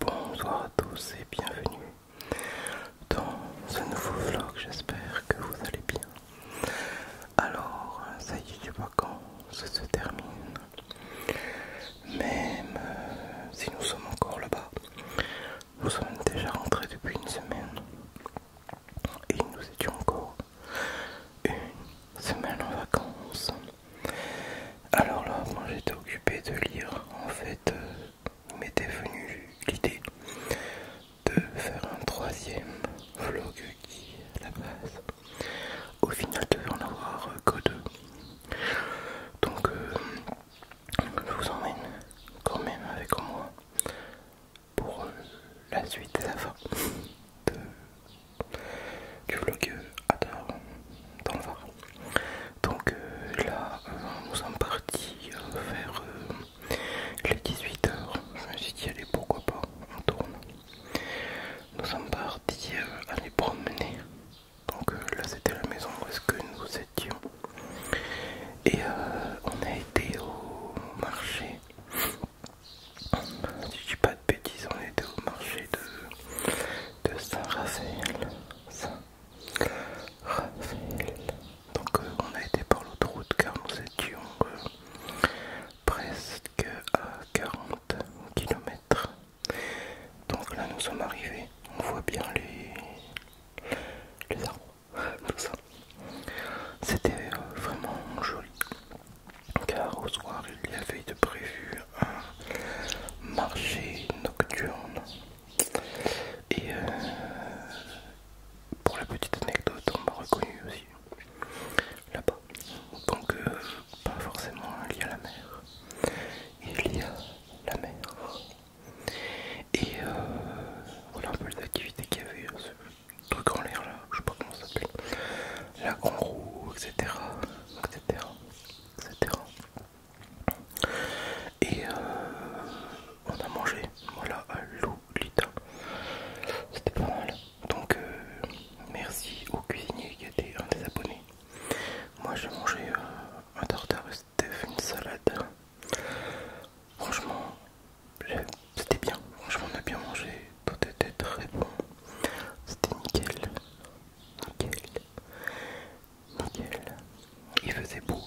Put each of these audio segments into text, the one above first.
Bonsoir à tous et bienvenue dans ce nouveau vlog. J'espère que vous allez bien. Alors, ça y est, les vacances se terminent. Même euh, si nous sommes encore là-bas, nous sommes déjà rentrés depuis une semaine et nous étions encore une semaine en vacances. Alors là, moi j'étais occupé de lire en fait euh, m'était venue l'idée de faire un troisième vlog qui, à la base, au final devait en avoir que deux. Donc, euh, je vous emmène quand même avec moi pour euh, la suite et la fin du vlog à dans le donc euh, là, euh, nous sommes partis euh, vers les 18h. Je me suis dit, allez, pourquoi pas, on tourne. Nous sommes partis à aller promener. Donc là, c'était la maison où est-ce que nous étions. Et on a été au marché. Si je dis pas de bêtises, on était au marché de, de Saint-Raphaël. saint raphaël donc euh, on a été par l'autre route car nous étions euh, presque à 40 km. Donc là nous sommes arrivés. On voit bien les, les arbres, tout ça. C'était euh, vraiment joli. Car au soir il y avait de prévu un marché nocturne. Et euh, pour la petite anecdote, on m'a reconnu aussi là-bas. Donc, euh, pas forcément lié à la mer, il y a la mer. Et euh, voilà un peu les activités qu'il y avait, hein, ce truc en l'air là, je sais pas comment ça s'appelle, la en roue, etc. Et euh, on a mangé, voilà, à Lolita. C'était pas mal. Donc euh, merci au cuisinier qui était un des abonnés. Moi j'ai mangé euh, un tartare c'était une salade. Franchement, c'était bien. Franchement on a bien mangé. Tout était très bon. C'était nickel. Nickel. Il faisait beau.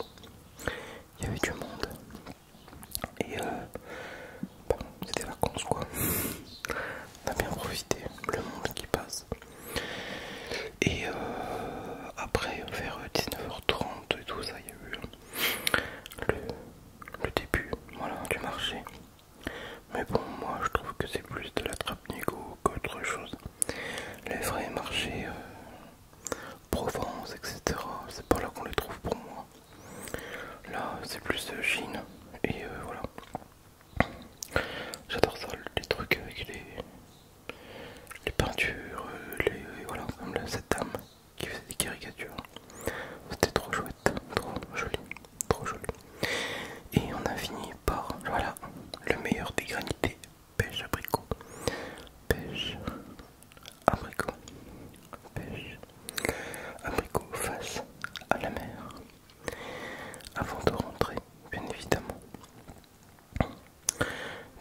Il y avait du monde. Et euh, c'était vacances quoi. On a bien profité. Le monde qui passe. Et euh, après vers 19h30 et tout ça, il y a eu le, le début voilà, du marché. Mais bon, moi je trouve que c'est plus de la trappe qu'autre chose. Les vrais marchés euh, Provence, etc., c'est pas là qu'on les trouve pour moi. Là, c'est plus euh, Chine, et euh, voilà. J'adore ça, les trucs avec les, les peintures, les, voilà, cette dame qui faisait des caricatures. C'était trop chouette, trop joli, trop joli. Et on a fini par, voilà, le meilleur des granités, pêche abricot, pêche abricot, pêche abricot face à la mer. Avant de rentrer, bien évidemment.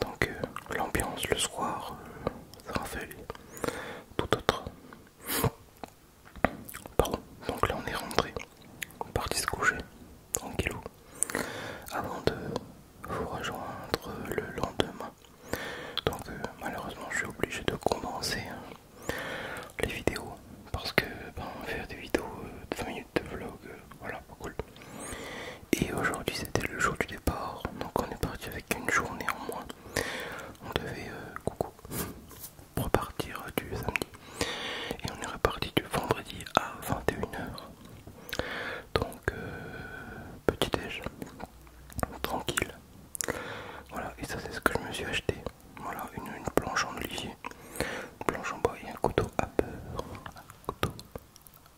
Donc euh, l'ambiance le soir, sera euh, fait tout autre. Pardon. Donc là on est rentré, on est parti se coucher, tranquillou, avant de vous rejoindre le lendemain. Donc euh, malheureusement je suis obligé de commencer hein, les vidéos parce que ben, faire des vidéos euh, de 20 minutes de vlog, euh, voilà, pas cool. Et aujourd'hui c'était le jour du départ, donc on est parti avec une journée en moins on devait euh, coucou repartir euh, du samedi et on est reparti du vendredi à 21h donc euh, petit déj tranquille voilà et ça c'est ce que je me suis acheté voilà une, planche en olivier une planche en bois et un couteau à beurre un couteau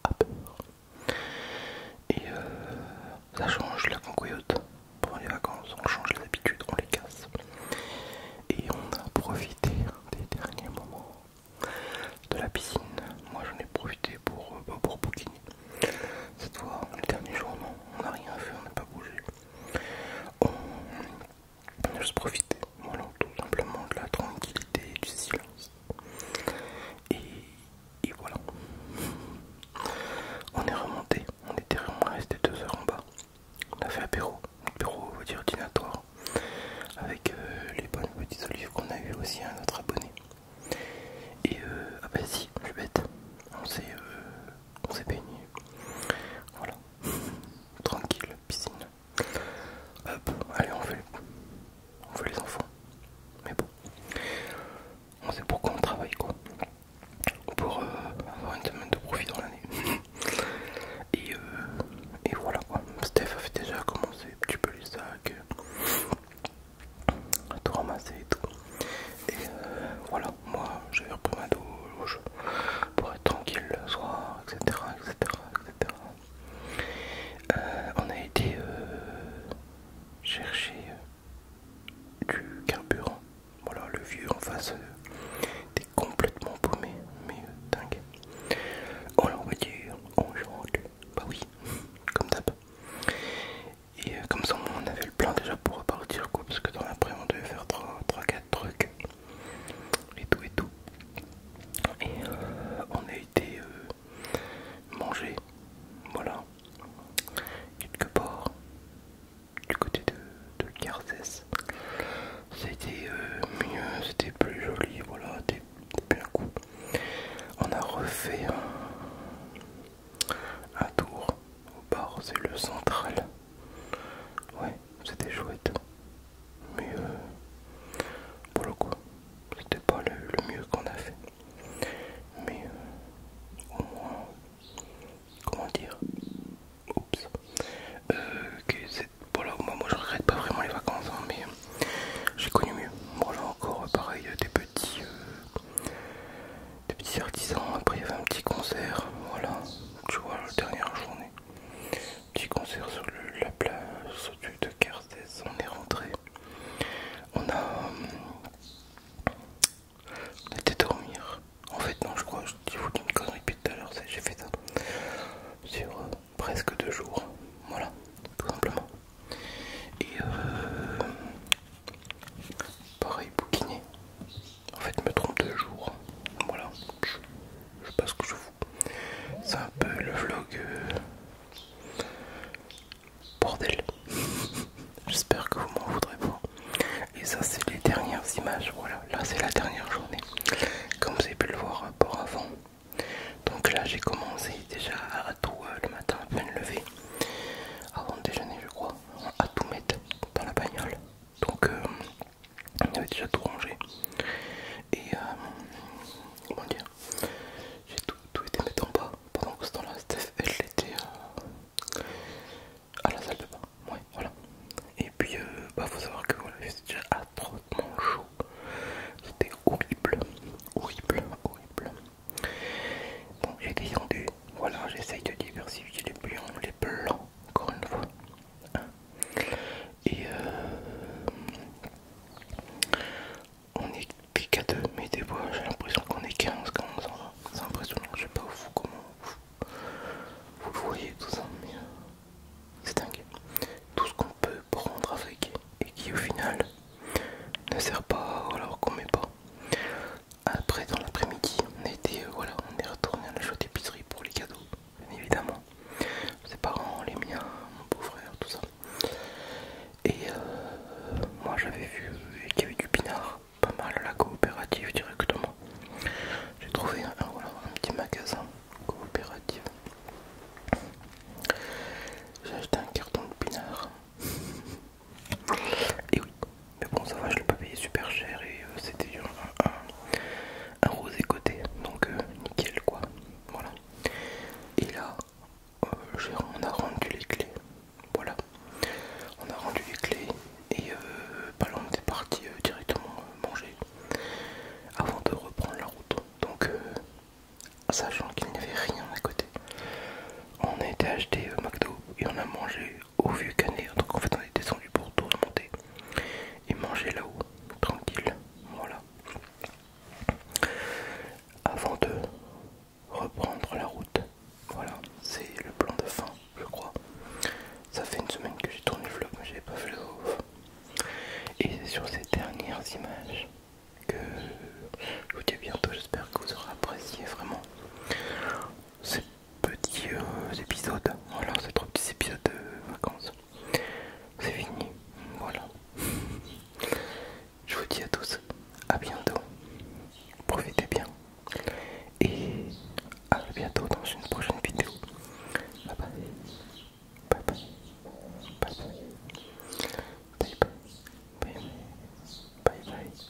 à beurre et euh, ça change la concouillotte. Pendant les vacances, on change les habitudes, on les casse. Et on a profité des derniers moments de la piscine. Moi j'en ai profité pour, euh, bah, Cette fois, le dernier jour, non, on n'a rien fait, on n'a pas bougé. On, a juste profité, tout simplement de la tranquillité du silence. Et et voilà. On est remonté, on était vraiment resté deux heures en bas. On a fait apéro, apéro on va dire avec euh, les bonnes petites olives qu'on a eu aussi à autre abonné. Et euh, ah bah si, je bête, on s'est euh, s'est baigné. Voilà, tranquille, piscine. Hop, allez on fait on veut les enfants. Mais bon, on sait pourquoi on travaille quoi. Pour euh, avoir une semaine de profit dans l'année. et, euh, et voilà Steph avait déjà commencé un petit peu les sacs, à tout ramasser et tout. Et euh, voilà, moi j'avais repris ma douche pour être tranquille le soir, etc. etc., etc. Euh, on a été euh, chercher euh, du carburant. Voilà, le vieux en face était complètement paumé, mais dingue. On oh, l'a envoyé oh, aujourd'hui, bah oui, comme d'hab. Et comme ça, on avait le plan déjà pour repartir, quoi, parce que dans l'après, on devait faire 3-4 trucs et tout et tout. Et on a été manger. Voilà. Quelque part du côté de, de C'était euh, mieux, c'était plus joli, voilà, c'était bien cool. On a refait un tour au bar, c'est le central. Ouais, c'était chouette. Mais euh, le quoi, c'était pas le, mieux qu'on a fait. Mais euh, au moins, comment dire, oups, euh, voilà, moi, moi je regrette pas vraiment les vacances, hein, mais euh, j'ai connu mieux. Voilà, encore euh, pareil des petits, des petits artisans, après il y avait un petit concert, voilà, tu vois, la dernière journée. Petit concert sur la place au-dessus de on est rentré. On a. On dormir. En fait, non, je crois, je vous qui une connerie depuis tout à l'heure, j'ai fait ça sur euh, presque deux jours. Voilà, tout simplement. Et euh, pareil, bouquiné. En fait, me trompe deux jours. Voilà, je sais pas ce que je vous. C'est un peu le vlog euh, bordel. J'espère que vous m'en voudrez pas. Et ça c'est les dernières images. Voilà, là c'est la dernière journée. Comme vous avez pu le voir euh, par avant. Donc là j'ai commencé déjà à tout euh, le matin à peine lever, Avant de déjeuner je crois. À tout mettre dans la bagnole. Donc il avait déjà tout rangé et euh, comment dire j'ai tout, été mettre en bas pendant que ce temps là Steph elle était euh, à la salle de bain ouais voilà et puis euh, bah faut savoir que voilà c'était déjà atrocement chaud c'était horrible horrible horrible bon j'ai descendu. voilà j'essaye de diversifier les blancs. les plans encore une fois. Et euh, on est qu'à deux, mais des fois j'ai l'impression qu'on est 15 quand on s'en va. C'est impressionnant, je sais pas vous, comment vous, voyez tout ça, mais euh, c'est dingue. Tout ce qu'on peut prendre avec et qui au final ne sert pas alors qu'on met pas. Après dans l'après-midi on était euh, voilà on est retourné à la chaude épicerie pour les cadeaux évidemment. Ses parents, les miens, mon beau-frère, tout ça. Et euh, moi j'avais vu qu'il y avait du pinard, pas mal à la coopérative directement. J'ai trouvé un, petit magasin coopératif. J'ai acheté un carton de pinard. Et oui, mais bon ça va je l'ai pas payé super cher et euh, c'était un, rosé côté donc euh, nickel quoi voilà et là euh, on a rendu les clés voilà on a rendu les clés et est bah on était parti directement manger avant de reprendre la route donc sachant qu'il n'y avait rien à côté on a été acheté McDo et on a mangé au vieux canet. Donc en fait on est descendu pour tout remonter et manger là-haut, tranquille. Voilà. Avant de reprendre la route. Voilà, c'est le plan de fin, je crois. Ça fait une semaine que j'ai tourné le vlog, mais j'avais pas fait le off. Et c'est sur ces dernières images que je vous dis à bientôt. J'espère que vous aurez apprécié vraiment petits euh, épisodes. Voilà, ces trois petits épisodes de vacances. C'est fini. Voilà. Je vous dis à tous, à bientôt. Profitez bien. Et à bientôt dans une prochaine vidéo. Bye bye. Bye bye. Bye bye. Bye bye. bye, bye.